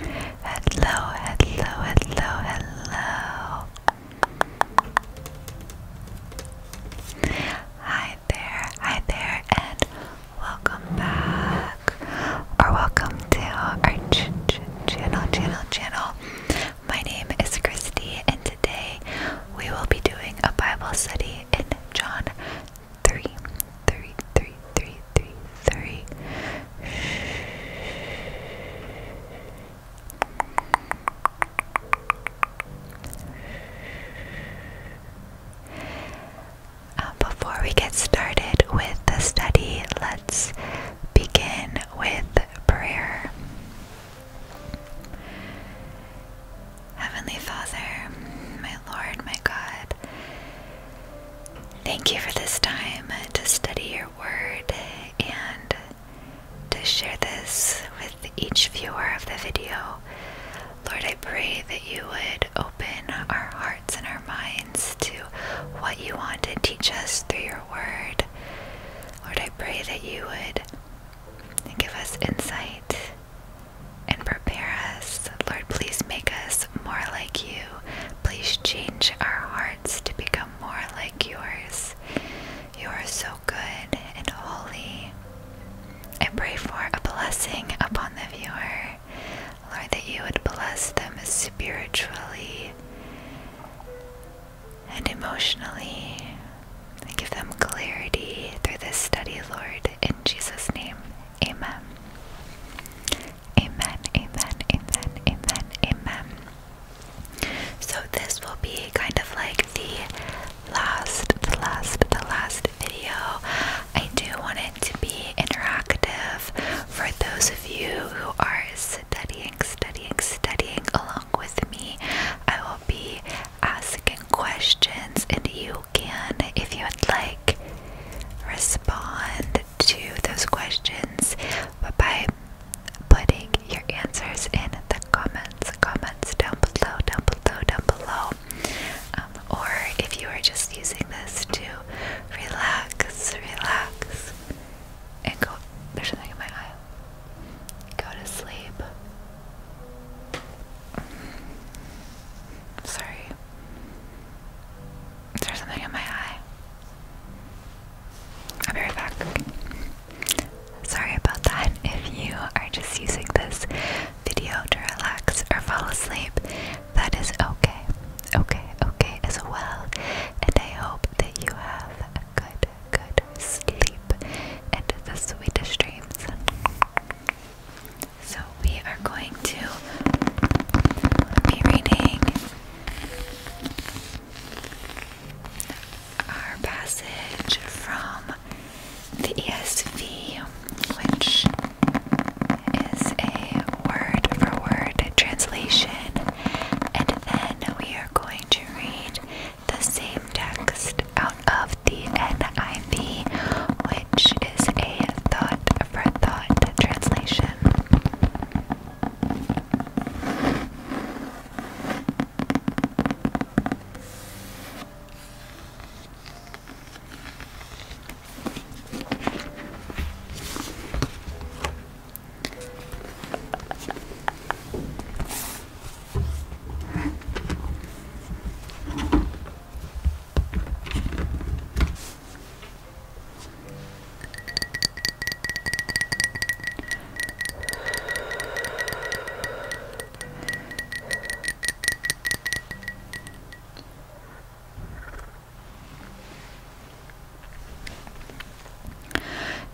Hello, hello, hello, hello. Hi there, hi there, and welcome back, or welcome to our ch ch channel, channel, channel. My name is Christy, and today we will be doing a Bible study in John three, three, three, three, three, three. Uh, before we get started with the study, let's begin with prayer. Heavenly Father, my Lord, my God, Thank you for this time to study your word and to share this with each viewer of the video. Lord, I pray that you would open our hearts and our minds to what you want to teach us through your word. Lord, I pray that you would give us insight and prepare us. Lord, please make us more like you. Please change our hearts to become more like yours. You are so good and holy. And pray for a blessing upon the viewer. Lord, that you would bless them spiritually and emotionally. And give them clarity through this study, Lord. In Jesus' name, Amen. Amen. Amen. Amen. Amen. Amen. So this will be kind of like the last, the last, the last video. I do want it to be interactive for those of you who are studying, studying, studying along with me. I will be asking questions and you can, if you would like, respond to those questions but by putting your answers in the comments, comments down below, down below, down below. Um, or if you are just using this to relax, relax, and go, there's something in my eye, go to sleep. Sorry, is there something in my eye? I'll be right back. Sorry about that. If you are just using this video to relax or fall asleep, that is okay. Okay, okay as well. And I hope that you have a good, good sleep and the sweetest dreams. So we are going to be reading our passage from the ESV, which is a word for word translation, and then we are going to read the same text out of the NIV, which is a thought for thought translation.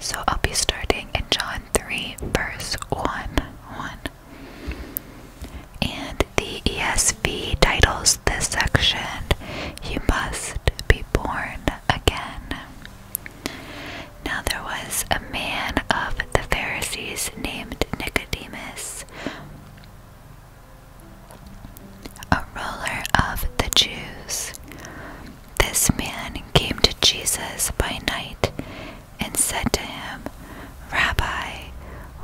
So I'll be starting in John 3, verse 1. 1. And the ESV titles this section, You Must Be Born Again. Now there was a man of the Pharisees named Nicodemus, a ruler of the Jews. This man came to Jesus by night and said to him, Rabbi,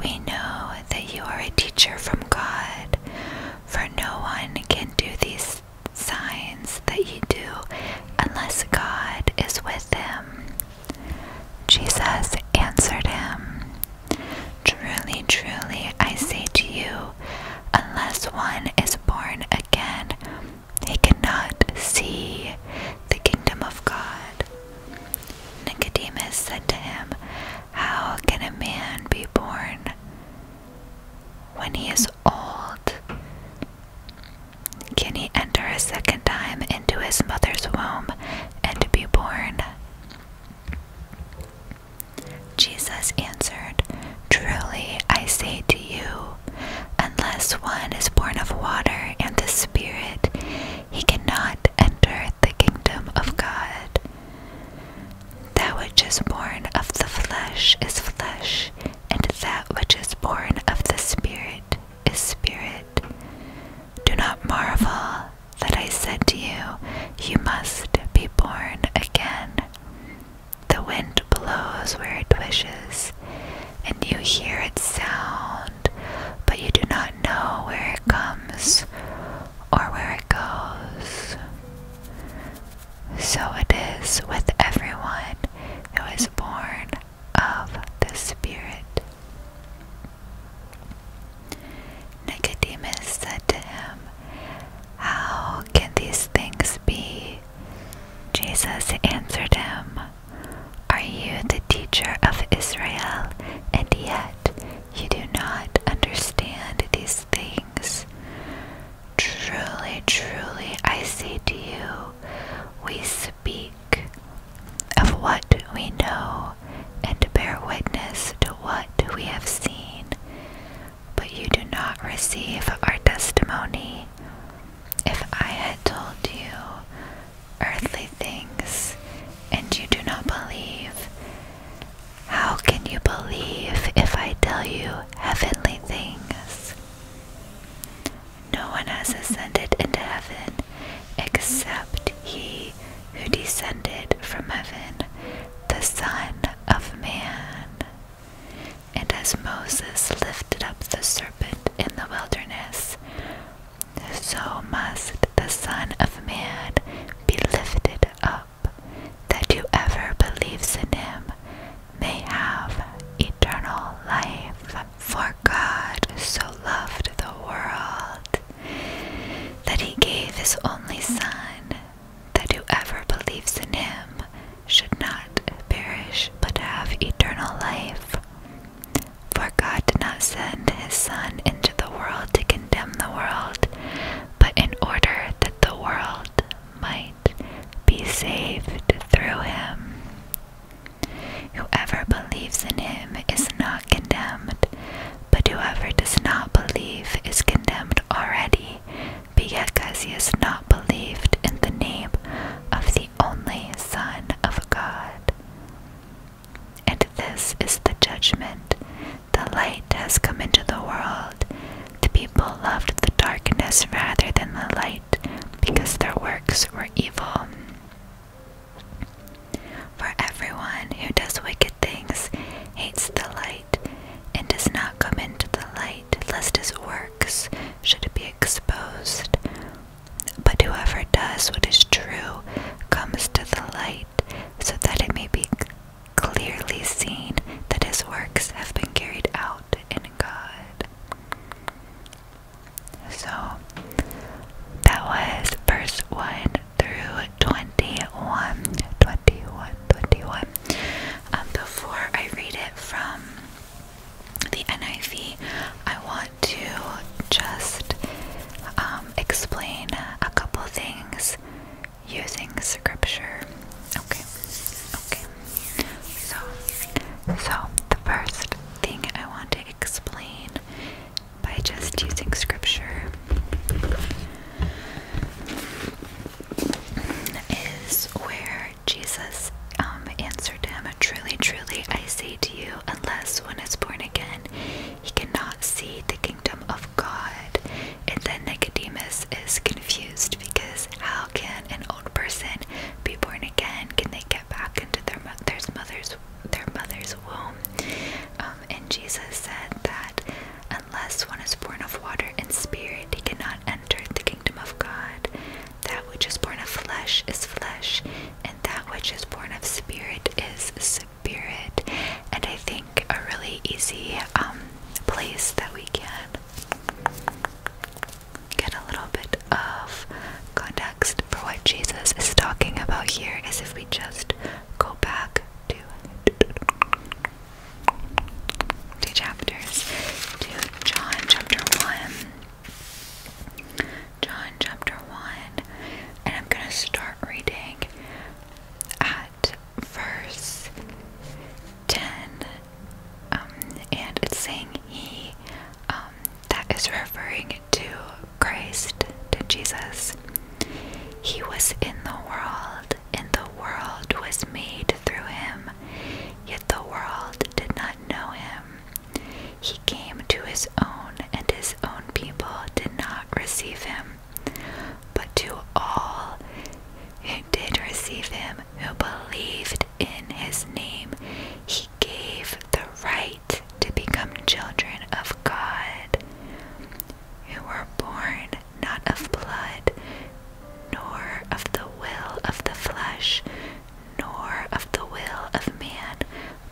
we know that you are a teacher from God, for no one can do these signs that you do unless God is with him. Jesus answered him, Truly, truly, I say to you, unless one is born again, he cannot see the kingdom of God. Nicodemus said to him, how can a man be born when he is old? Can he enter a second time into his mother's womb and be born? Jesus answered, Truly I say to you, unless one is born of water and the Spirit, he cannot enter the kingdom of God. That which is born of the flesh is flesh, and that which is born of the Spirit is spirit. Do not marvel that I said to you, You must be born again. The wind blows where it wishes, and you hear its sound, but you do not know where it comes or where it goes. So it is with everyone who is born of the Spirit. Nicodemus said to him, How can these things be? Jesus answered him, Are you the teacher of Israel, and yet you do not understand these things. Truly, truly, I say to you, we speak of what we know and bear witness to what we have seen, but you do not receive our testimony. If I had told you earthly things and you do not believe, how can you believe if I tell you heavenly things? No one has ascended into heaven except he who descended from heaven, the Son of Man. And as Moses lifted up the serpent in the wilderness, so must the Son of Man be lifted up, that whoever believes in him may have eternal life. For God so loved the world that he gave his only Son, that whoever believes in him should not perish but have eternal life. For God did not send his Son to the world to condemn the world, but in order that the world might be saved through him. Whoever believes in him is not condemned, but whoever does not believe is condemned already, because he has not believed in the name of the only Son of God. And this is the judgment. The light has come into the world. The people loved the darkness rather than the light, because their works were evil. For everyone who does wicked things hates the light, and does not come into the light, lest his works should be exposed. But whoever does what is true comes to the light so that it may be clearly seen that his works have been carried out in God. So that was verse 1 through 21. 21, 21. Um, before I read it from the NIV, I want to just um, explain a couple things using scripture. Okay, okay. So, so the first thing I want to explain by just using scripture is where Jesus um, answered him, Truly, truly, I say to you, unless one is born again, he cannot see the kingdom of God. And then Nicodemus is confused because how can an old person be born again? Can they get back into their mother's their mother's womb? Um, and Jesus said that unless one is born of water and spirit, he cannot enter the kingdom of God. That which is born of flesh is flesh, and that which is born of spirit is spirit, and I think a really easy um, place that we can get a little bit of context for what Jesus is talking about here is if we just go back to two chapters to John chapter 1. John chapter 1, and I'm going to start reading at verse 10, um, and it's saying he, um, that is referring to Christ, to Jesus. He was in the world, and the world was made through him, yet the world did not know him. He came to his own, and his own people did not receive him. But to all who did receive him, who believed in his name, he gave the right to become children of God, who were born not of blood, nor of the will of the flesh, nor of the will of man,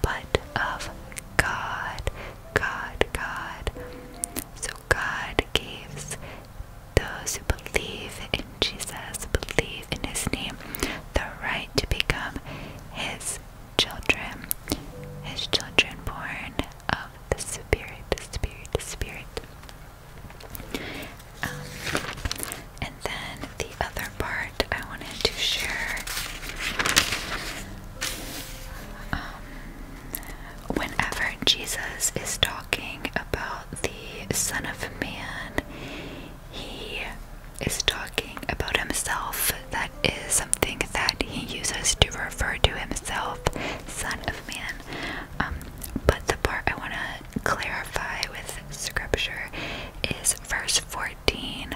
but of God. God, God. So God gives those who believe in Jesus, believe in his name, the right to become his children, his children born of the Spirit, Spirit, Spirit. Um, and then the other part I wanted to share whenever Jesus is talking about the Son of Man, he is talking about himself. That is something that he uses to refer to himself, Son of Man. Um, but the part I want to clarify with Scripture is verse 14,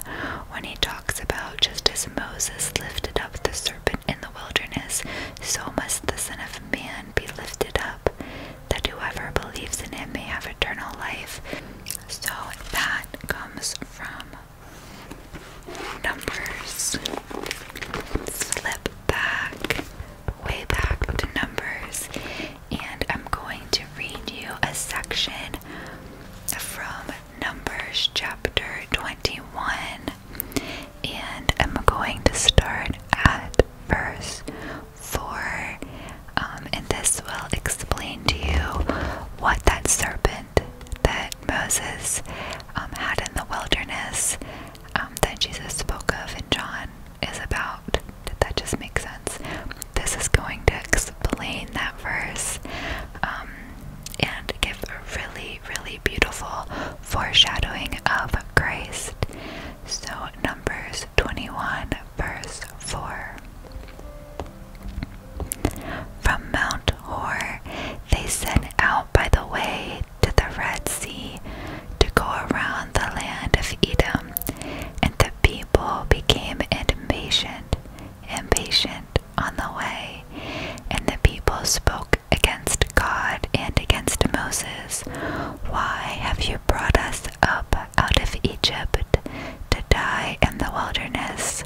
when he talks about just as Moses lifted up the serpent in the wilderness, so must the Son of Man be lifted up, that whoever believes in him may have eternal life. So that comes from Numbers. Flip back, way back to Numbers, and I'm going to read you a section from Numbers chapter 21, and I'm going to start at verse 4, um, and this will explain to you what that serpent that Moses um, had in the wilderness um, that Jesus spoke of in John is about. Did that just make sense? This is going to explain that verse and give a really, really beautiful foreshadowing of Christ. So, Numbers 21, verse 4. From Mount Hor, they set out by the way to the Red Sea to go around the land of Edom, and the people became impatient, impatient on the way, and the people spoke against God and against Moses. Why have you brought us up out of Egypt to die in the wilderness?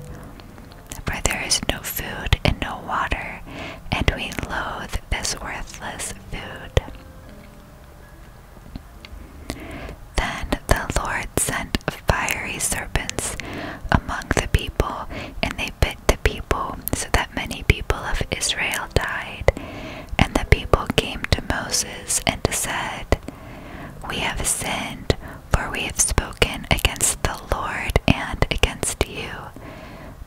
For there is no food and no water, and we loathe this worthless food. Then the Lord sent fiery serpents among the people, and they bit the people, so that many people of Israel died. And the people came to Moses and said, We have sinned, for we have spoken against the Lord and against you.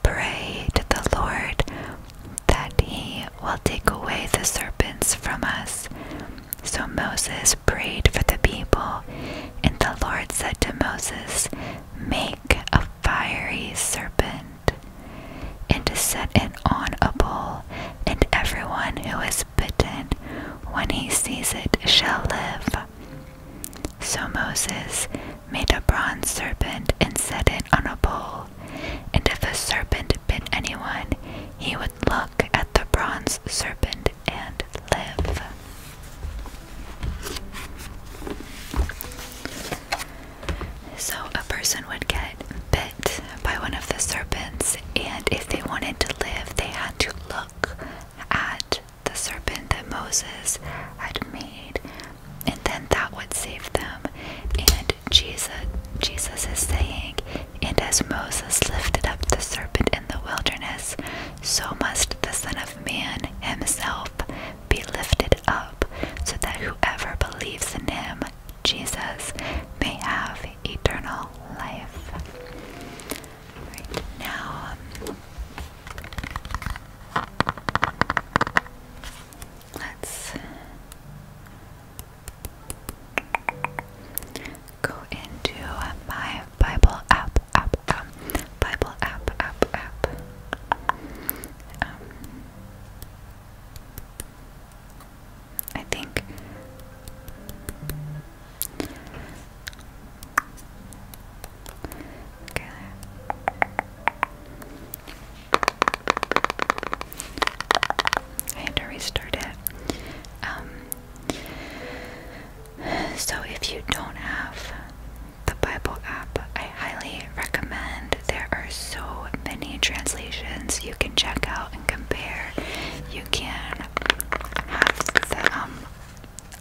Pray to the Lord that he will take away the serpents from us. So Moses prayed for the people, and the Lord said to Moses, Make a fiery serpent, and set it on a pole, and everyone who is bitten, when he sees it, shall live. So Moses made a bronze serpent and set it on a pole, and if a serpent bit anyone, he would look at the bronze serpent and live. So, a person would get bit by one of the serpents, and if they wanted to live, they had to look at the serpent that Moses had made, and then that would save them. And Jesus, Jesus is saying, And as Moses lifted up the serpent in the wilderness, so must the Son of Man himself be lifted up, so that whoever believes in him, Jesus, may have eternal life. now, um, let's go into my Bible app, app, um, Bible app, app, app. Um, I think okay. I had to restart it. Um, so, if you don't have the Bible app, I highly recommend. There are so many translations you can check out and compare. You can have the um,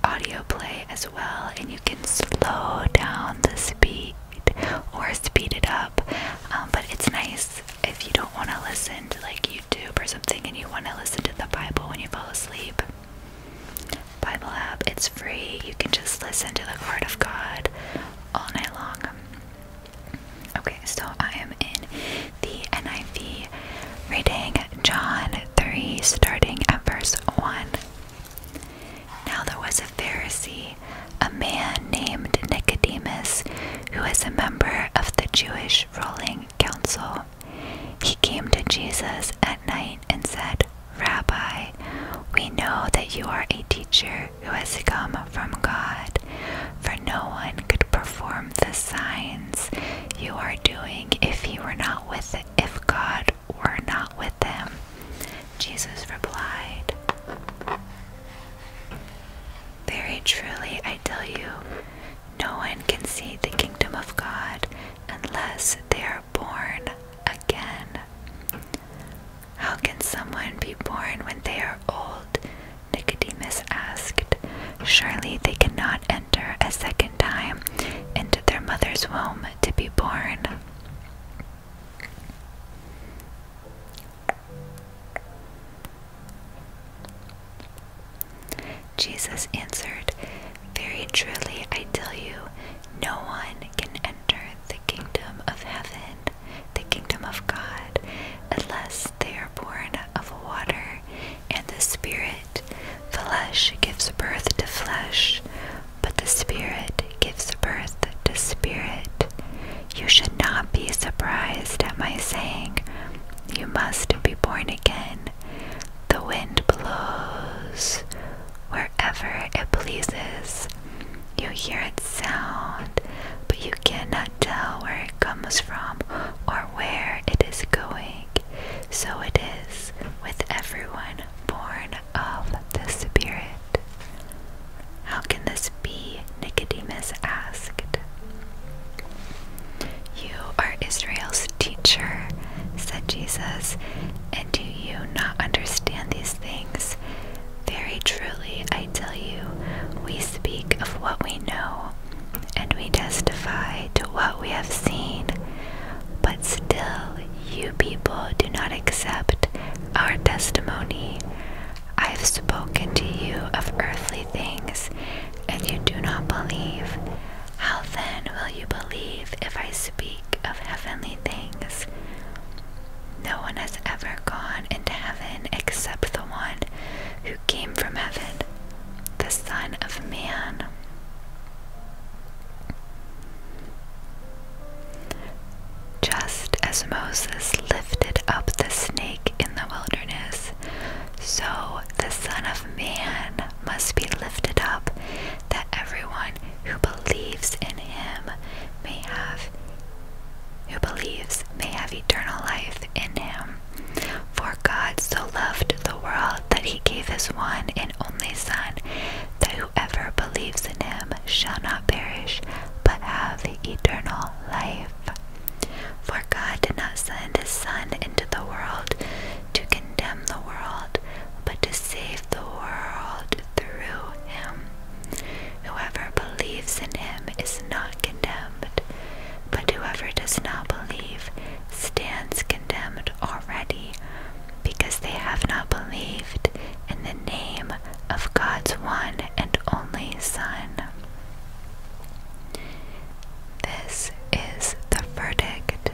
audio play as well, and you can slow down the speed or speed it up. Um, but it's nice if you don't want to listen to like YouTube or something and you want to listen to the Bible when you fall asleep, Bible app, it's free. You can just listen to the Word of God all night long. Okay, so I am in the NIV reading John 3, starting at verse 1. Now there was a Pharisee, a man named Nicodemus, who was a member of the Jewish ruling council. He came to Jesus at night and said, Rabbi, we know that you are a teacher who has come from God, for no one could perform the signs you are doing if he were not with if God were not with him. Jesus replied, Very truly I tell you, no one can see the kingdom of God unless they are born again. How can someone be born when they are old? Nicodemus asked. Surely they cannot enter a second time into their mother's womb to be born. Jesus answered, Very truly I tell you, no one can enter the kingdom of heaven, the kingdom of God, unless they are born of water and the Spirit. Flesh gives birth to flesh, but the Spirit gives birth to spirit. You should not be surprised at my saying, You must be born again. The wind blows wherever it pleases. You hear its sound, but you cannot tell where it comes from or where it is going. So it is with everyone born of the Spirit. How can this be? Nicodemus asked. You are Israel's teacher, said Jesus, and do you not understand these things? Very truly, I tell you, we speak of what we know, and we testify to what we have seen, but still you people do not accept our testimony. I have spoken to you of earthly things, and you do not believe. How then will you believe if I speak of heavenly things? No one has ever gone into heaven except the one who came from heaven, the Son of Man. Just as Moses lifted up the snake in the wilderness, so the Son of Man must be lifted up, that everyone who believes in him may have who believes may have eternal life in him. For God so loved the world that he gave his one and only Son, that whoever believes in him shall not perish, but have eternal life. For God did not send his Son into the world to condemn the world, but to save the world through him. Whoever believes in him is not condemned, but whoever does not believe stands condemned already, because they have not believed in the name of God's one and only Son. This is the verdict.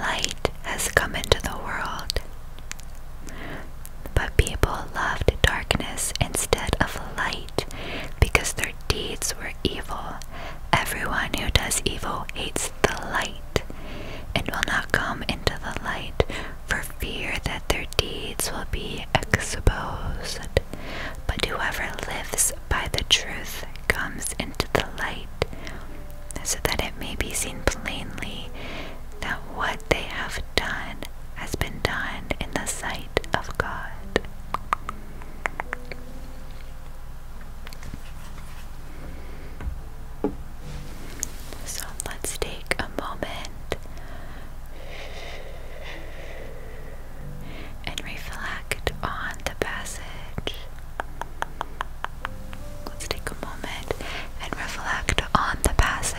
Light has come into the world. But people loved darkness instead of light because their deeds were evil. Everyone who does evil hates the light and will not come into the light for fear that their deeds will be exposed. But whoever lives by the truth comes into the light so that it may be seen plainly that what they have done has been done in the sight of God. So let's take a moment and reflect on the passage. Let's take a moment and reflect on the passage.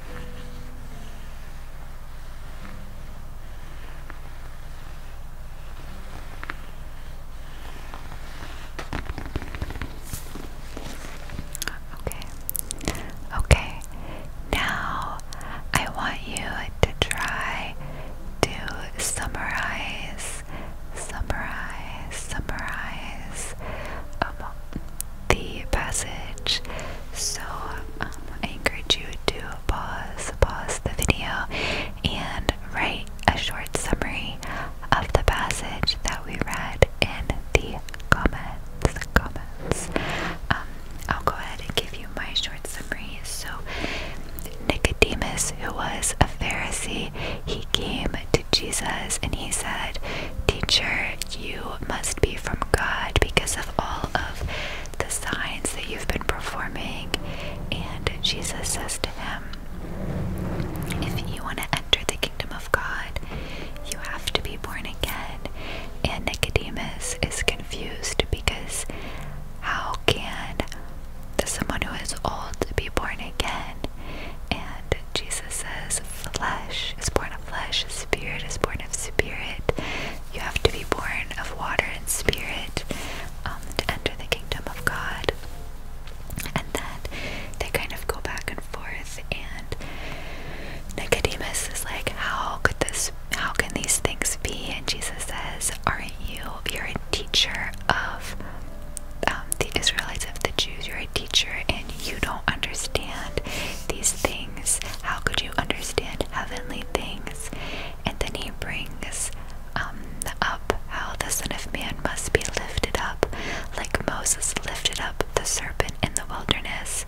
Okay. Okay. Now I want you to try to summarize, summarize, summarize um, the passage. So um, I encourage you to pause, pause the video, and write a short summary of the passage that we read in the comments. Comments. Um, I'll go ahead and give you my short summary. So Nicodemus, who was a Pharisee, he came to Jesus and he said, "Teacher, you must be from God because of all of the signs that you've been performing. And Jesus says to him, If you want to enter the kingdom of God, you have to be born again. And Nicodemus is confused because how can someone who is old be born again? And Jesus says, Flesh is born of flesh, spirit is born of spirit. You have to be born of water and spirit um, to enter the kingdom of God. And then they kind of go back and forth, and Nicodemus is like, "How could this? How can these things be?" And Jesus says, "Aren't you? You're a teacher of um, the Israelites of the Jews. You're a teacher, and you don't understand these things. How could you understand heavenly things, and then he brings um, up how the Son of Man must be lifted up, like Moses lifted up the serpent in the wilderness,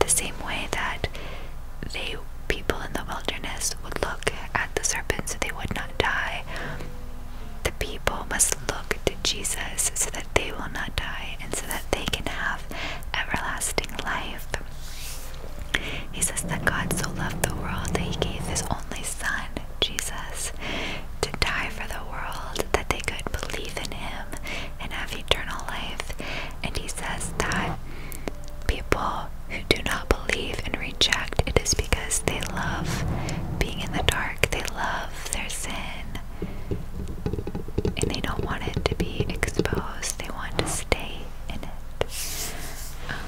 the same way that the people in the wilderness would look at the serpent so they would not die. The people must look to Jesus so that they will not die and so that they can have everlasting life. He says that God so loved the world that he gave his only son, Jesus, to die for the world that they could believe in him and have eternal life. And he says that people who do not believe and reject it is because they love being in the dark, they love their sin, and they don't want it to be exposed they want to stay in it. Um,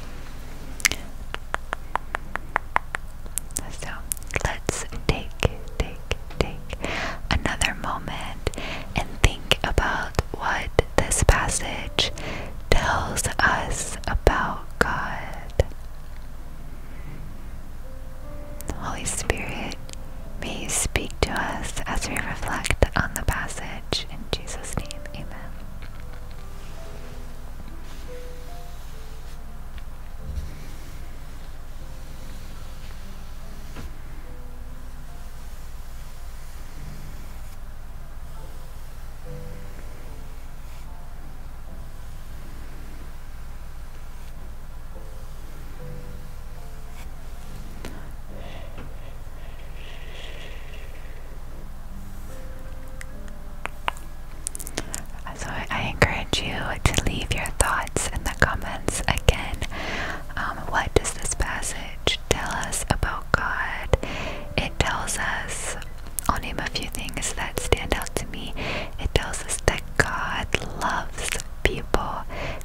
so let's take, take, take another moment and think about what this passage tells us about God. Holy Spirit, May you speak to us as we reflect on the passage. In Jesus' name, amen. So I encourage you to leave your thoughts in the comments again. Um, what does this passage tell us about God? It tells us, I'll name a few things that stand out to me. It tells us that God loves people.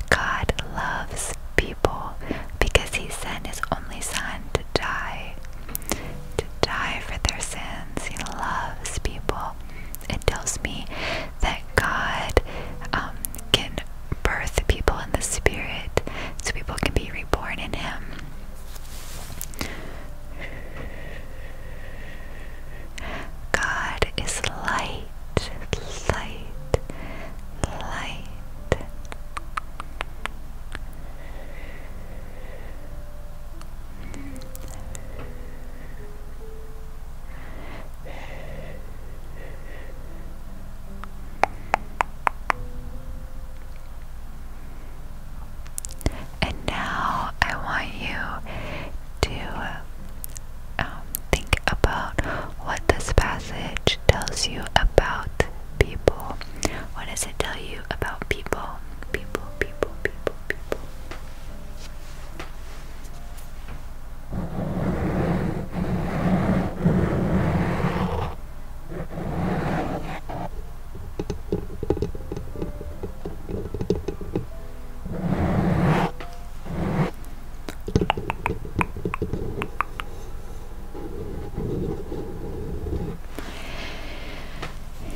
God loves people because He sent His only Son to die, to die for their sins. He loves people. It tells me that God um, can birth people in the Spirit so people can be reborn in Him. God is light light, light. And now I want you to um, think about what this passage tells you about people. What does it tell you about people? People, people, people, people.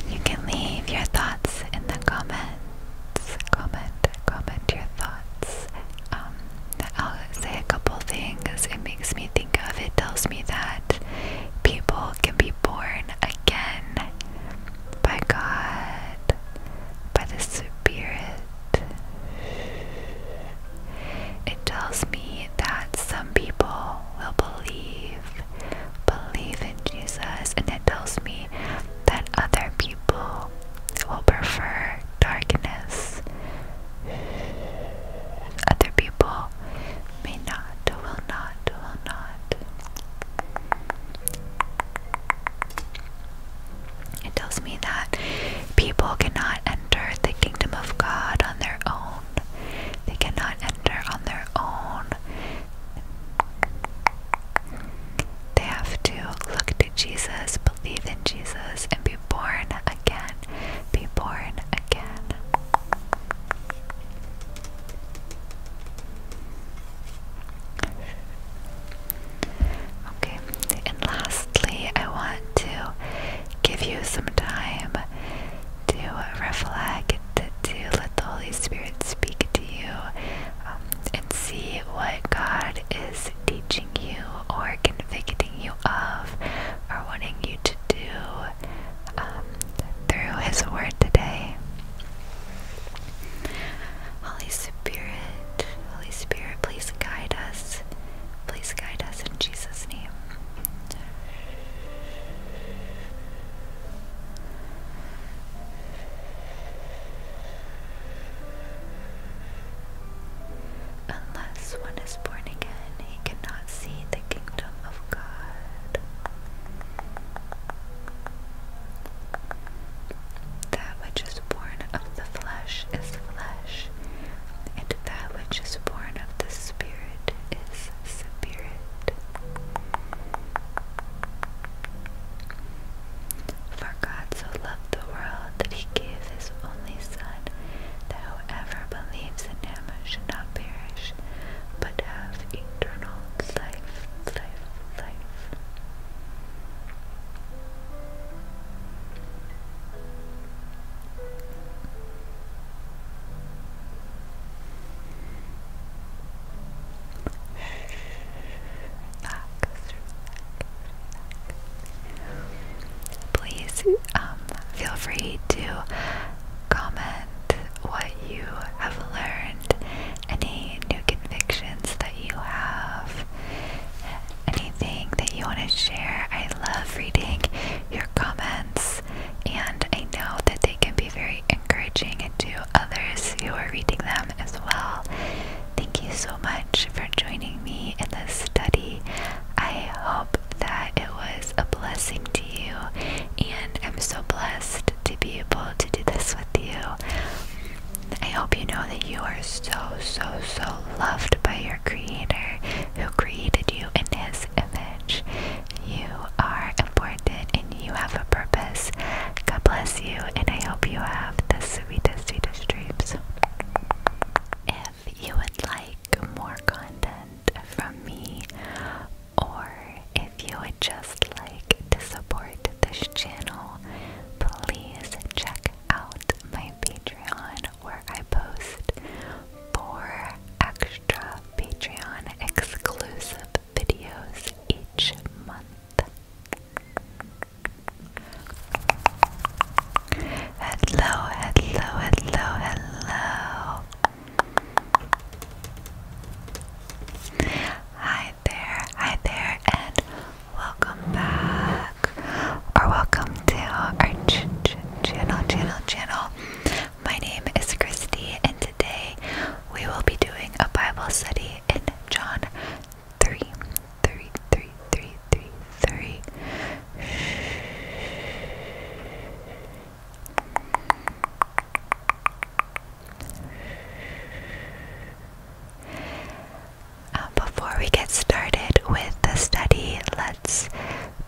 You can leave your thoughts in the comments. Comment, comment your thoughts. Um, I'll say a couple things. It makes me think of it, tells me that people can be born again by God, by the superior. It tells me that some people will believe, believe in Jesus, and it tells me that other people will prefer darkness. Other people may not, will not, will not. It tells me that people cannot enter the kingdom of God on their own. They cannot enter on their own. They have to look to Jesus, believe in Jesus, and be born again. Be born again. Okay, and lastly, I want to give you some time to reflect, to let the Holy Spirit speak to you, um, and see what God is teaching you or convicting you of or wanting you to do um, through His Word today. Holy Spirit, Holy Spirit, please guide us Please guide us in Jesus' name. Unless one is born again, he cannot see the kingdom of God. That which is born of the flesh is flesh, and that which is born of the Spirit is spirit. For God so loved the world that he gave his only Son, that whoever believes in him should not perish, but have eternal life relax, Please um, feel free to comment what you have learned, any new convictions that you have, anything that you want to share. I love reading your comments, and I know that they can be very encouraging to others who are reading them as well. Thank you so much for joining me in this study. I hope that it was a blessing to you, and I'm so blessed to be able to do this with you. I hope you know that you are so, so, so loved by your Creator who created you in His image. You are important and you have a purpose. God bless you, and I hope you have the sweetest, sweetest dreams. If you would like more content from me, or if you would just like to support this channel, please check out my Patreon where I post four extra Patreon exclusive videos each month. Hello, hello, hello, hello. Hi there, hi there, and welcome back or welcome to our channel, channel, channel. My name is Christy, and today we will be doing a Bible study in John 3 3 3 3 3 3. Uh, before we get started with the study, let's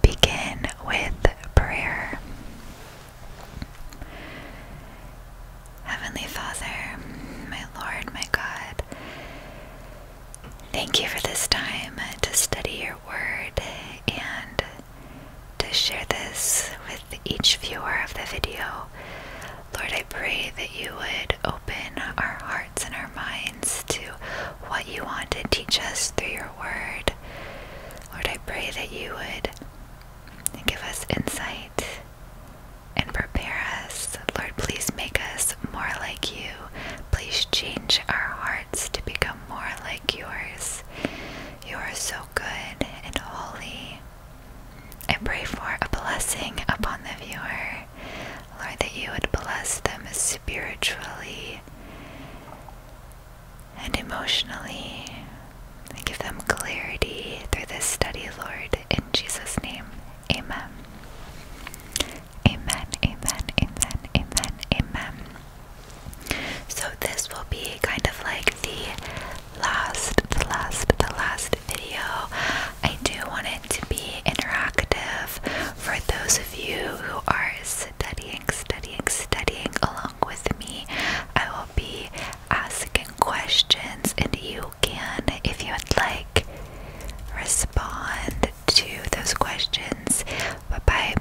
begin with prayer. Heavenly Father, my Lord, my God, thank you for this time to study your word and to share this with each viewer of the video. Lord, I pray that you would open our hearts and our minds to what you want to teach us through your word. Lord, I pray that you would give us insight and prepare us. Lord, please make us more like you. Please change our hearts to become more like yours. You are so good and holy. I pray for a blessing upon the viewer Lord, that you would bless them spiritually and emotionally. give them clarity through this study, Lord. In Jesus' name, amen. Amen, amen, amen, amen, amen. So this will be kind of like the last, the last, the last video. I do want it to be interactive for those of you who are studying, studying, studying along with me. I will be asking questions, and you can, if you would like, respond to those questions but by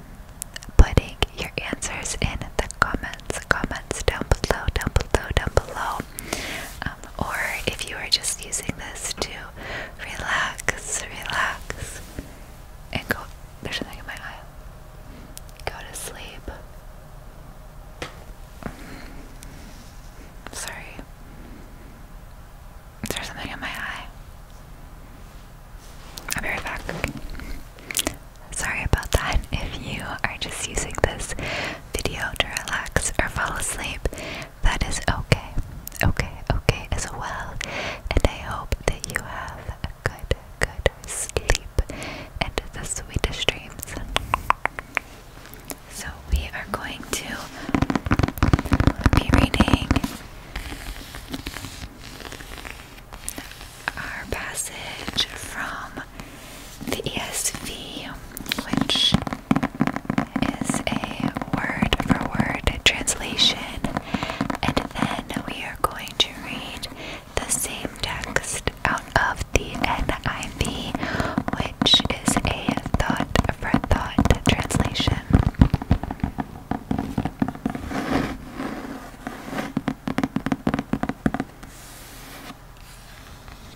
putting your answers in the comments comments down below down below down below or if you are just using this to relax, relax, and go. There's something in my eye. Go to sleep. Mm, sorry. There's something in my eye. I'll right back. Sorry about that. If you are just using this video to relax or fall asleep, that is okay, okay, okay as well. And I hope that you have a good, good sleep and the sweetest dreams. So, we are going to be reading our passage from the ESV, which is a word for word translation, and then we are going to read the same text out of the NIV, which is a thought for thought translation.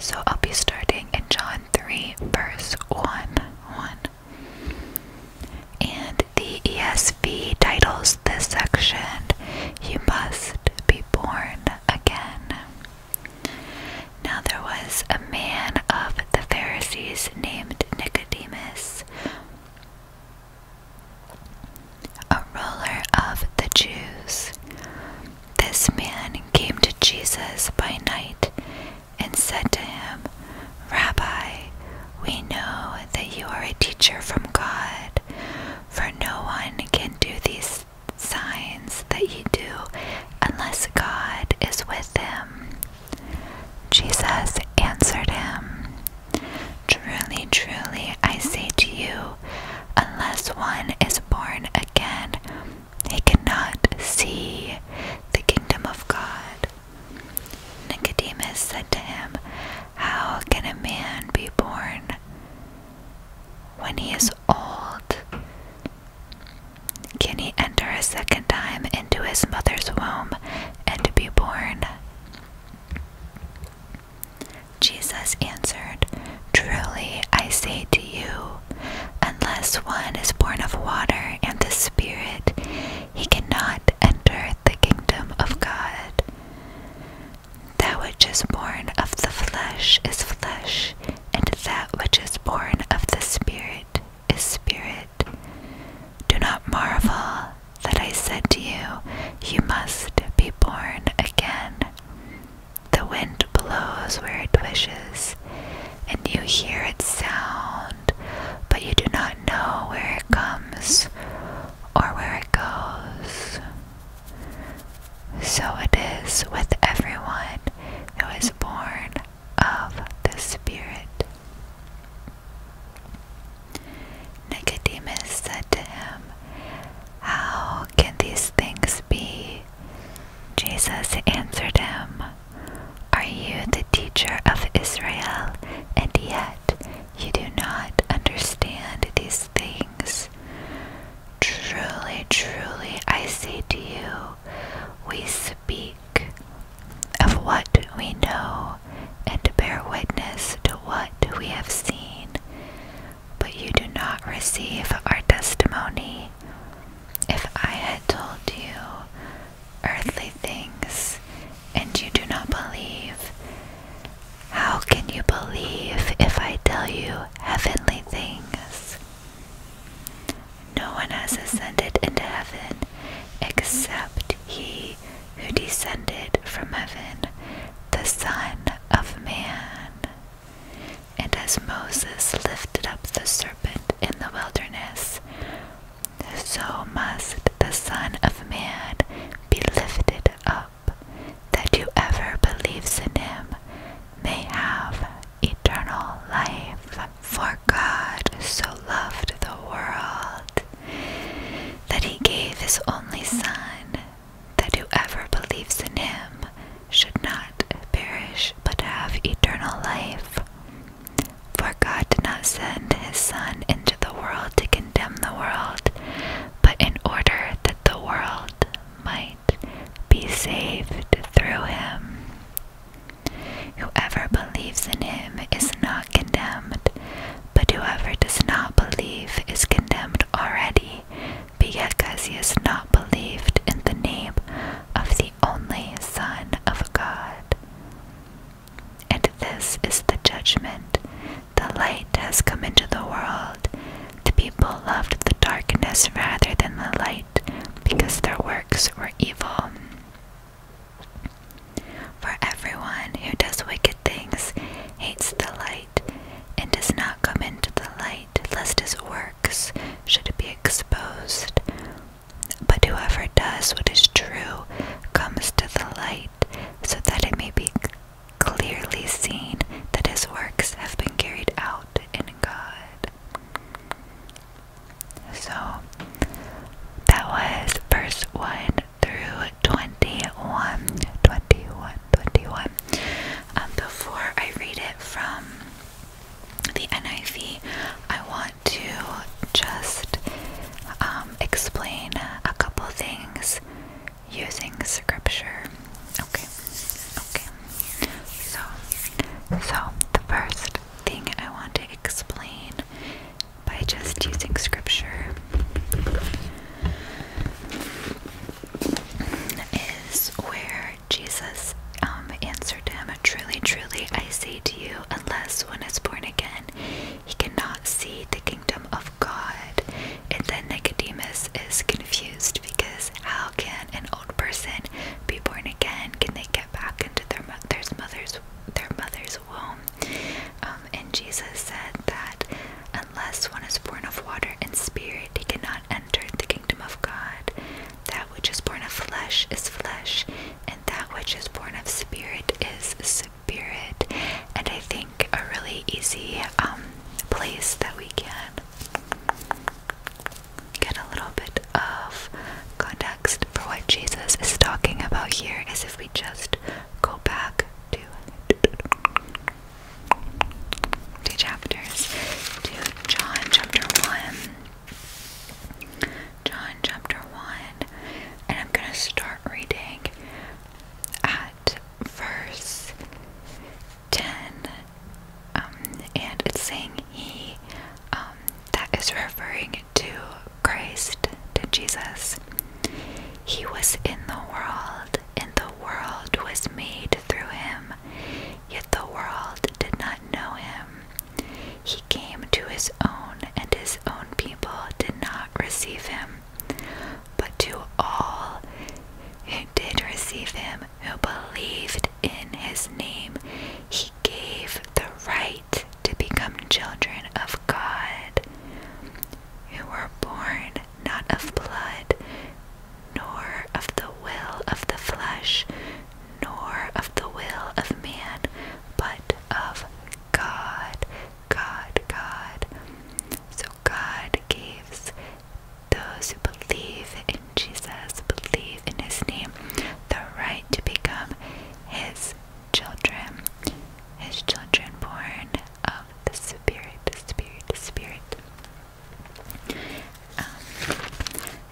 So I'll be starting in John 3, verse 1. 1. And the ESV titles this section, You Must Be Born Again. Now there was a man of the Pharisees named Nicodemus, a ruler of the Jews. This man came to Jesus by night and said to him, Rabbi, we know that you are a teacher from God, for no one can do these signs that you do unless God is with him. Jesus answered him, Truly, truly, I say to you, unless one is born again, he cannot see the kingdom of God. Nicodemus said to him, How can a man be born when he is old? Can he enter a second time into his mother's womb and be born? Jesus answered, Truly I say to you, unless one is born of water and the Spirit, he cannot enter the kingdom of God. That which is born of the flesh is flesh, and that which is born of the Spirit is spirit. Do not marvel that I said to you, You must be born again. The wind blows where it wishes, and you hear its sound, but you do not know where it comes or where it goes. So it is with everyone who is born of the Spirit. Nicodemus said to him, How can these things be? Jesus answered him, Are you the teacher of Israel, and yet you do not understand these things? Truly, truly, I say to you, we speak of what we know and to bear witness to what we have seen, but you do not receive our testimony. If I had told you earthly things and you do not believe, how can you believe if I tell you heavenly things? No one has ascended into heaven except he who descended from heaven, the Son of Man. And as Moses lifted up the serpent in the wilderness, so must the Son of Man be lifted up, that whoever believes in him may have eternal life. For God so loved the world that he gave his only Son, that whoever believes in him should not perish but have eternal life. For God did not send his Son into the world to condemn the world, but in order that the world might be saved through him. Whoever believes in him is not condemned, but whoever does not believe is condemned already, because he has not believed in the name of the only Son of God. And this is the judgment. The light has come into the world. The people loved the darkness rather than the light, because their works were evil. For everyone who does wicked things hates the light and does not come into the light, lest his works should be exposed. But whoever does what is true comes to the light, so that it may be clearly seen that his works have been carried out in God. So that was verse 1 through 21, 21, 21. Um, before I read it from the NIV, I want to just um, explain a couple things using scripture. Okay, okay. So, so the first thing I want to explain by just using scripture is where Jesus um, answered him, Truly, truly, I say to you, unless one is born again, he cannot see the kingdom of God. And then Nicodemus is confused because how can an old person be born again? Can they get back into their mother's mother's their mother's um, and Jesus said that unless one is born of water and spirit, he cannot enter the kingdom of God. That which is born of flesh is flesh, and that which is born of spirit is spirit. And I think a really easy um, place that we can get a little bit of context for what Jesus is talking about here is if we just go back do two chapters Two John chapter 1. John chapter 1, and I'm going to start reading at verse 10. Um, and it's saying he, um, that is referring to Christ, to Jesus. He was in the world, and the world was made through him, yet the world did not know him. He came to his own, and his own people did not receive him. But to all who did receive him, who believed in his name, he gave the right to become children of God, you were born not of blood, nor of the will of the flesh, nor of the will of man, but of God, God, God. So God gives those who believe in Jesus, believe in his name, the right to become his children, his children born of the Spirit, the Spirit, the Spirit. Um,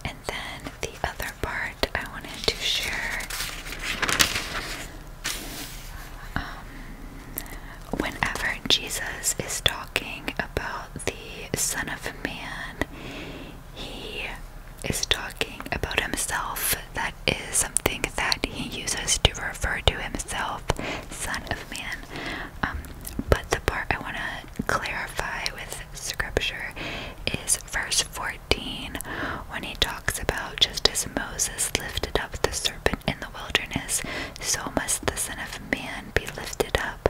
and then the other part I wanted to share um, whenever Jesus is talking about the Son of Man, he is talking about himself that is something that he uses to refer to himself, Son of Man. Um, but the part I want to clarify with scripture is verse 14 when he talks about just as Moses lifted up the serpent in the wilderness, so must the Son of Man be lifted up,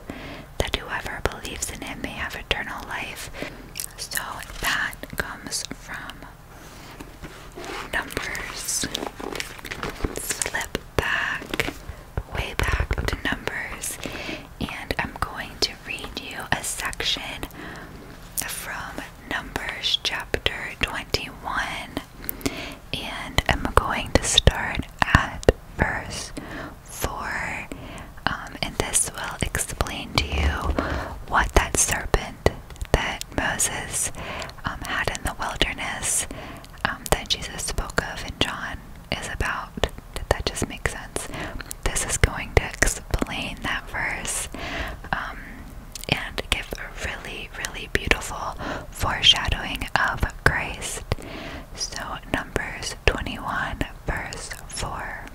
that whoever believes in him may have eternal life. So that comes from numbers, slip back, way back to numbers, and I'm going to read you a section from Numbers chapter 21, and I'm going to start at verse 4, um, and this will explain to you what that serpent that Moses um, had in the wilderness um, that Jesus spoke of in John is about. that just makes sense? This is going to explain that verse um, and give a really, really beautiful foreshadowing of Christ. So, Numbers 21, verse 4.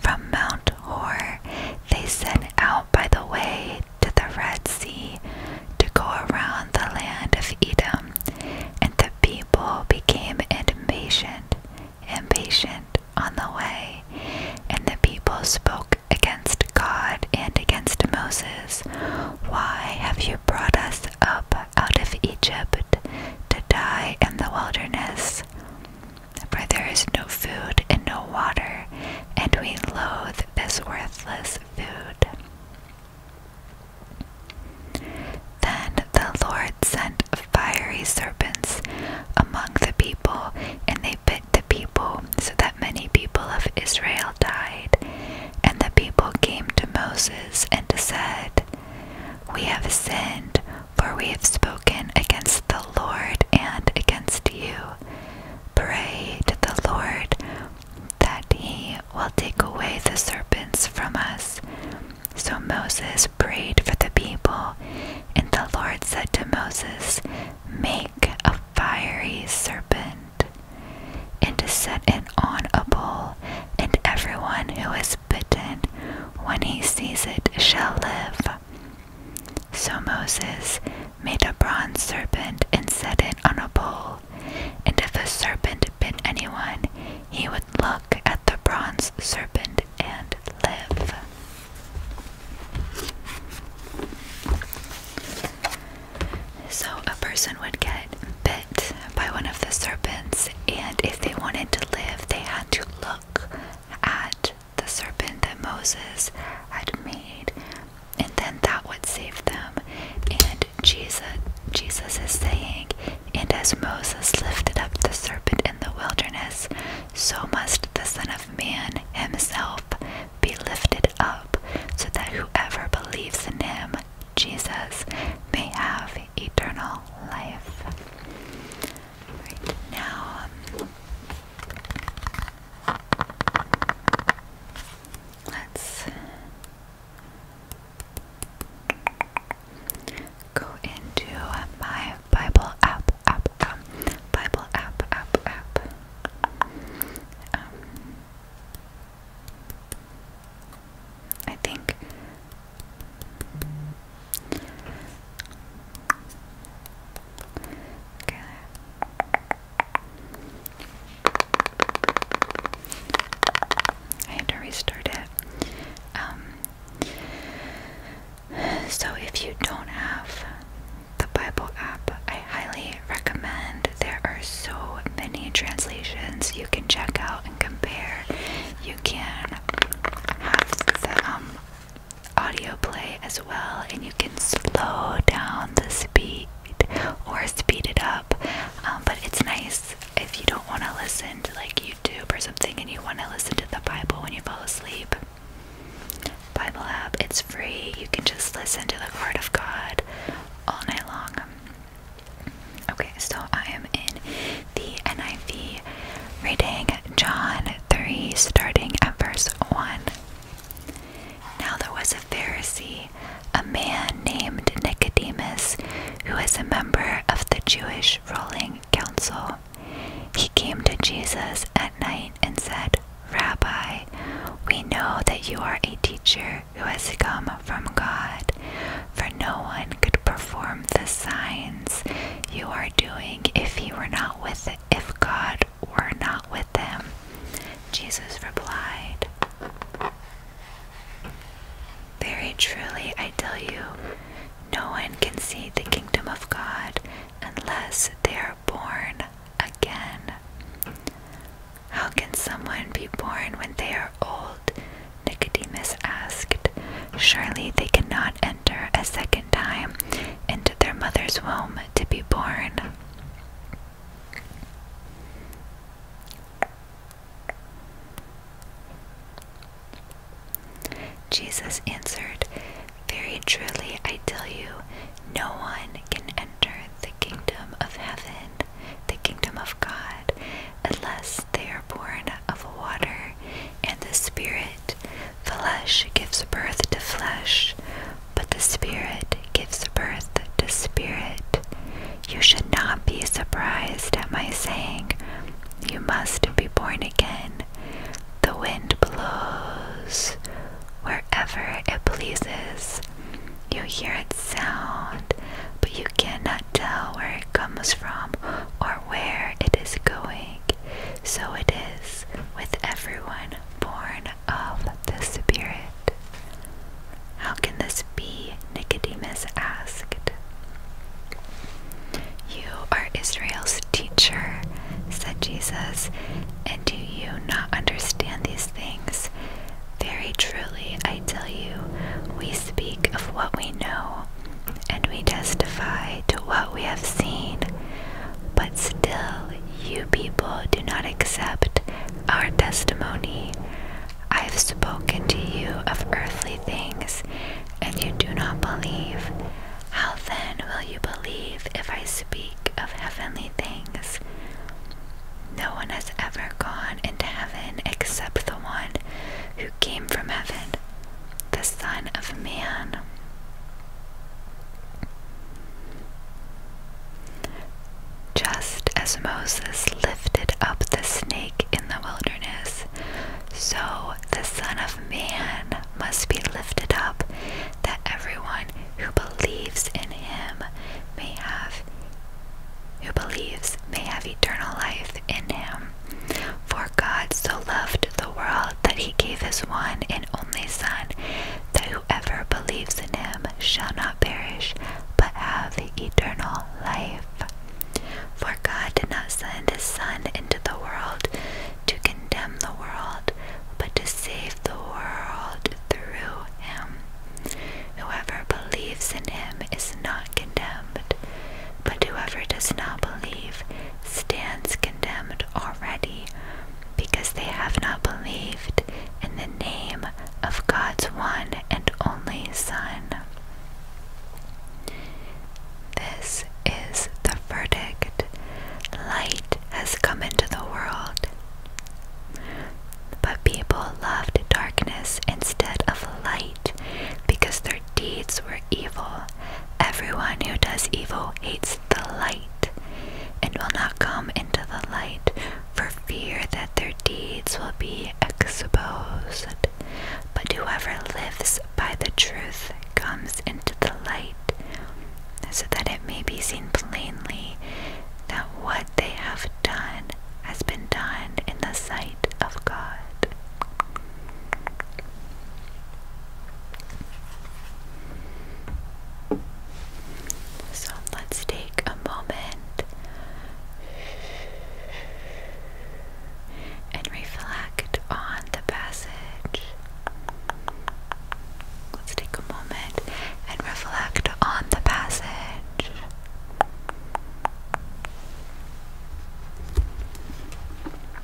From Mount Hor, they set out by the way to the Red Sea to go around the land of Edom, and the people became impatient, impatient on the way, and the people spoke against God and against Moses. Why have you brought us up out of Egypt to die in the wilderness? for there is no food and no water, and we loathe this worthless food. Then the Lord sent fiery serpents among the people, and they bit the people, so that many people of Israel died. And the people came to Moses and said, We have sinned. For we have spoken against the Lord and against you. Pray to the Lord that he will take away the serpents from us. So Moses prayed for the people, and the Lord said to Moses, Make a fiery serpent, and to set it on a pole, and everyone who is bitten when he sees it shall live. So Moses made a bronze serpent and set it on a pole, and if a serpent bit anyone, he would look at the bronze serpent and live. So a person would get bit by one of the serpents, and if they wanted to live, they had to look at the serpent that Moses had made, and then that would save them. And Jesus, Jesus is saying, and as Moses lifted up the serpent in the wilderness, so must the Son of Man himself be lifted up, so that whoever believes in him, Jesus, may have eternal life. Right now, let's um, go into my Bible app, app, Bible app, app, app. Um, I think Okay. I had to restart it. Um, so, if you don't have the Bible app, I highly recommend. There are so many translations you can check out and compare. You can have them. Um, audio play as well, and you can slow down the speed or speed it up. Um, but it's nice if you don't want to listen to like YouTube or something and you want to listen to the Bible when you fall asleep. Bible app, it's free. You can just listen to the Word of God all night long. Okay, so I am in the NIV reading John 3, starting at verse 1. Now there was a Pharisee, a man named Nicodemus, who was a member of the Jewish ruling council. He came to Jesus at night and said, Rabbi, we know that you are a teacher who has come from God, for no one could perform the signs you are doing if he were not with if God were not with them? Jesus replied, Very truly I tell you, no one can see the kingdom of God unless they are born again. How can someone be born when they are old? Nicodemus asked. Surely they cannot enter a second time into their mother's womb to be born. Jesus answered, Very truly I tell you, no one can enter the kingdom of heaven, the kingdom of God, unless they are born of water and the Spirit. Flesh gives birth to flesh, but the Spirit gives birth to spirit. You should not be surprised at my saying, You must be born again. The wind blows wherever it pleases. You hear its sound, but you cannot tell where it comes from or where it is going. So it is with everyone born of the Spirit. How can this be? Nicodemus asked. You are Israel's teacher, said Jesus, and do you not understand these things? Very truly, I tell you, we speak of what we know and we testify to what we have seen, but still you people do not accept our testimony. I have spoken to you of earthly things, and you do not believe. How then will you believe if I speak of heavenly things? No one has ever gone into heaven except the one who came from heaven, the Son of Man. Just as Moses lifted up the snake in the wilderness, so the Son of Man must be lifted up, that everyone who believes in him may have who believes may have eternal life in him. For God so loved the world that he gave his one and only Son, that whoever believes in him shall not perish, but have eternal life. For God did not send his Son into the world to condemn the world, but to save the world through him. Whoever believes in him is not condemned, but whoever does not believe stands condemned already because they have not believed in the name of God's one and only Son. This is the verdict. Light has come into the world. But people loved darkness instead of light because their deeds were evil. Everyone who does evil hates the light, and will not come into the light for fear that their deeds will be exposed. But whoever lives by the truth comes into the light, so that it may be seen plainly that what they have done has been done in the sight of God. So let's take a moment and reflect on the passage. Let's take a moment and reflect on the passage.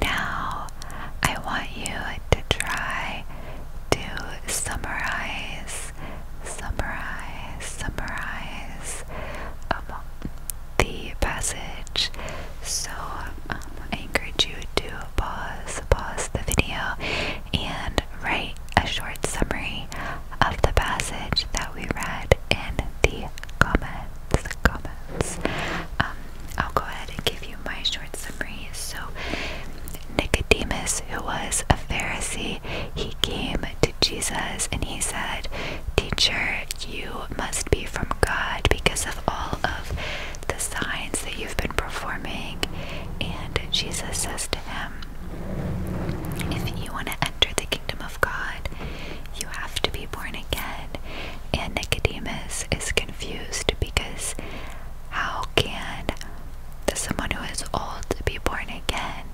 Now, I want you to try to summarize, summarize, summarize um, the passage. So, um, I encourage you to pause, pause the video, and write a short summary of the passage that we read in the comments. Comments. Um, I'll go ahead and give you my short summary. So, Nicodemus, who was a Pharisee, he came to Jesus and he said, Teacher, you must be from God because of all of the signs that you've been performing. And Jesus says to him, If you want to enter the kingdom of God, you have to be born again. And Nicodemus is confused because how can someone who is old be born again?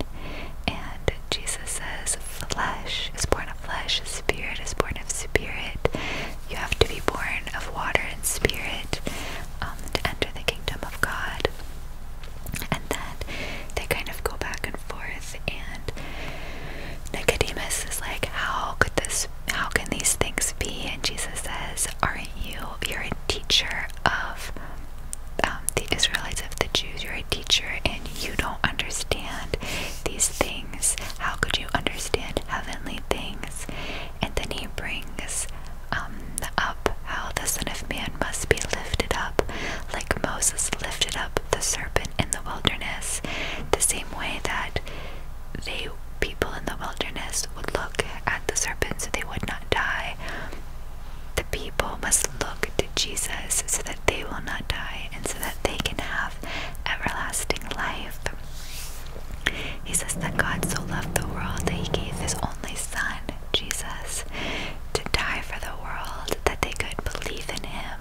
And Jesus says, flesh is born of flesh, spirit is born of spirit. You have to be born of water and spirit um, to enter the kingdom of God. And then they kind of go back and forth, and Nicodemus is like, How could this how can these things be? And Jesus says, Aren't you? You're a teacher of um, the Israelites, of the Jews. You're a teacher and you don't understand these things. How could you understand heavenly things? And then he brings um, up how the Son of Man must be lifted up, like Moses lifted up the serpent in the wilderness, the same way that out, they people in the wilderness would look at the serpent so they would not die. The people must look to Jesus so that they will not die and so that they can have everlasting life. He says that God so loved the world that he gave his only son, Jesus, to die for the world that they could believe in him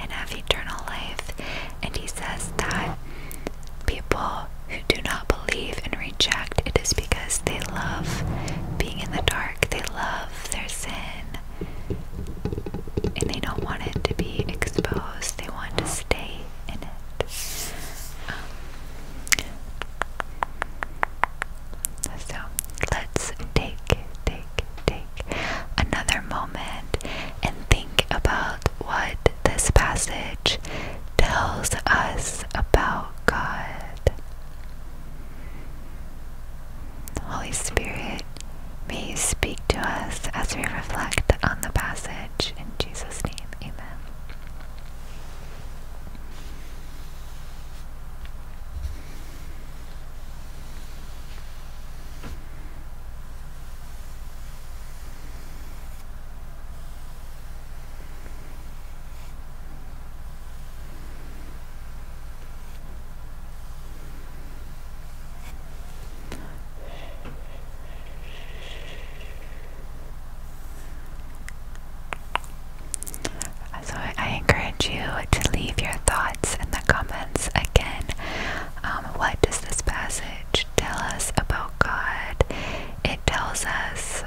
and have eternal life and he says that people who do not believe and reject it is because they love being in the dark, they love their sin, and they don't want it to be exposed, they want to stay in it. Um, so let's take, take, take another moment and think about what this passage tells us about God. Holy Spirit, may you speak to us as we reflect on the passage. In Jesus' name, amen. So I encourage you to leave your thoughts in the comments again. Um, what does this passage tell us about God. It tells us,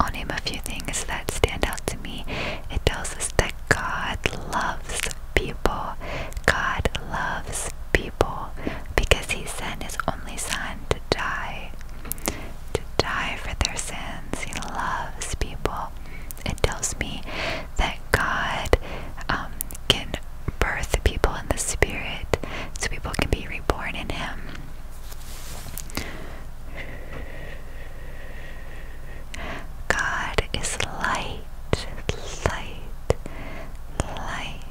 I'll name a few things that stand out to me. It tells us that God loves people. God loves people because He sent His only Son to die, to die for their sins. He loves people. It tells me that God um, can birth people in the spirit so people can be reborn in Him. God is light, light, light.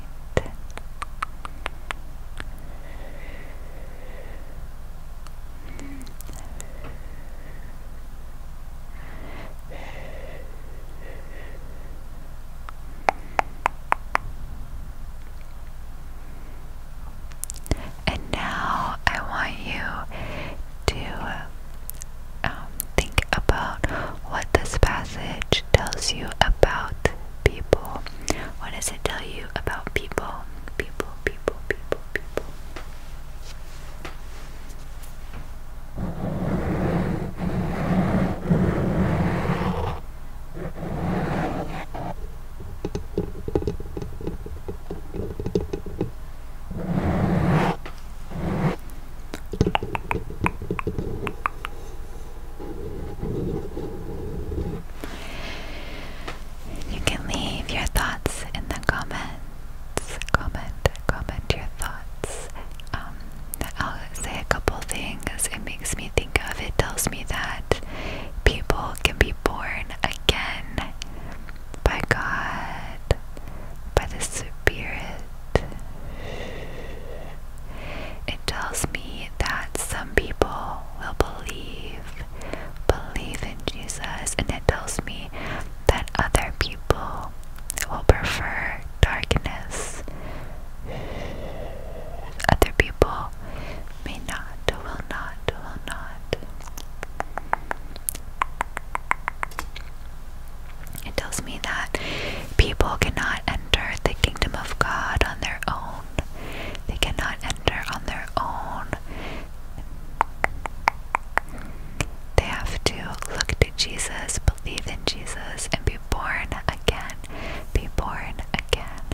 And now I want you to um, think about what this passage tells you about people. What does it tell you about people? People, people, people, people. You can leave your thoughts in the comments. Comment, comment your thoughts. Um, I'll say a couple things. It makes me think of it, tells me that people can be born again by God, by the Spirit. It tells me that some people will believe, believe in Jesus, and it tells me that other people will prefer darkness. Other people may not, will not, will not. It tells me that people cannot enter the kingdom of God on their own. They cannot enter on their own. They have to look to Jesus, believe in Jesus and be born again. Be born again.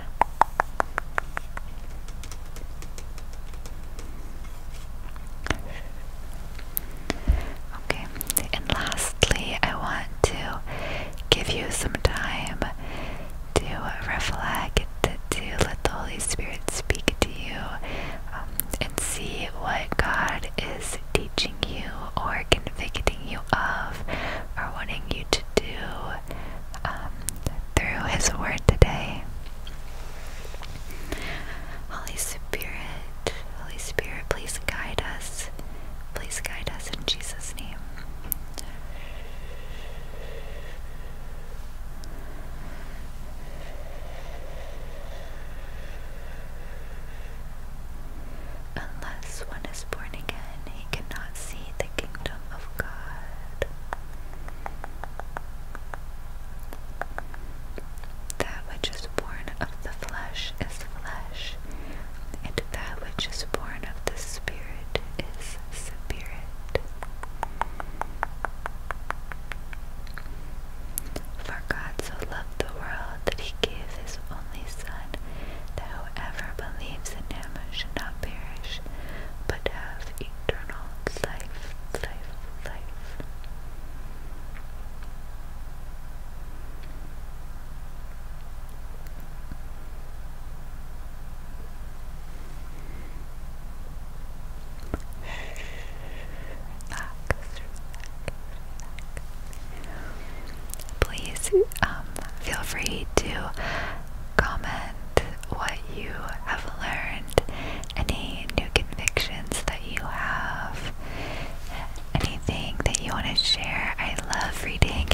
Okay, and lastly, I want to give you some time to reflect, to let the Holy Spirit speak to you, um, and see what God is. Dealing teaching you or convicting you of or wanting you to do um, through His Word today. Holy Spirit, Holy Spirit, please guide us. Please guide us in Jesus' name. Unless one is born again, he cannot see the kingdom of God. That which is born of the flesh is flesh, and that which is born of the Spirit is spirit. For God so loved the world that he gave his only Son, that whoever believes in him should not perish, but have eternal life, life, life. Relax, relax, Please um, feel free to comment what you have learned, any new convictions that you have, anything that you want to share. I love reading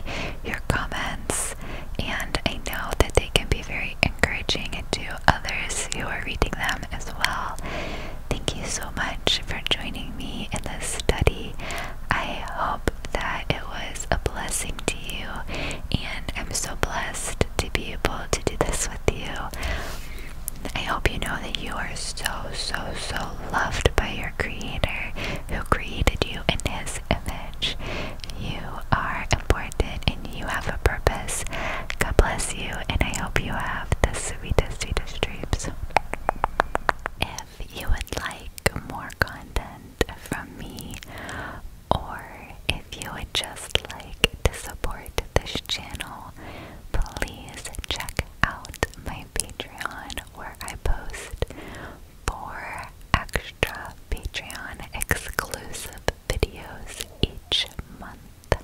your comments, and I know that they can be very encouraging to others who are reading them as well. Thank you so much for joining me in this study. I hope that it was a blessing to you, and I'm so blessed to be able to do this with you. I hope you know that you are so, so, so loved by your Creator who created you in His image. You are important and you have a purpose. God bless you, and I hope you have the sweetest, sweetest dreams if you would like more content from me or if you would just like to support this channel, please check out my Patreon where I post four extra Patreon exclusive videos each month.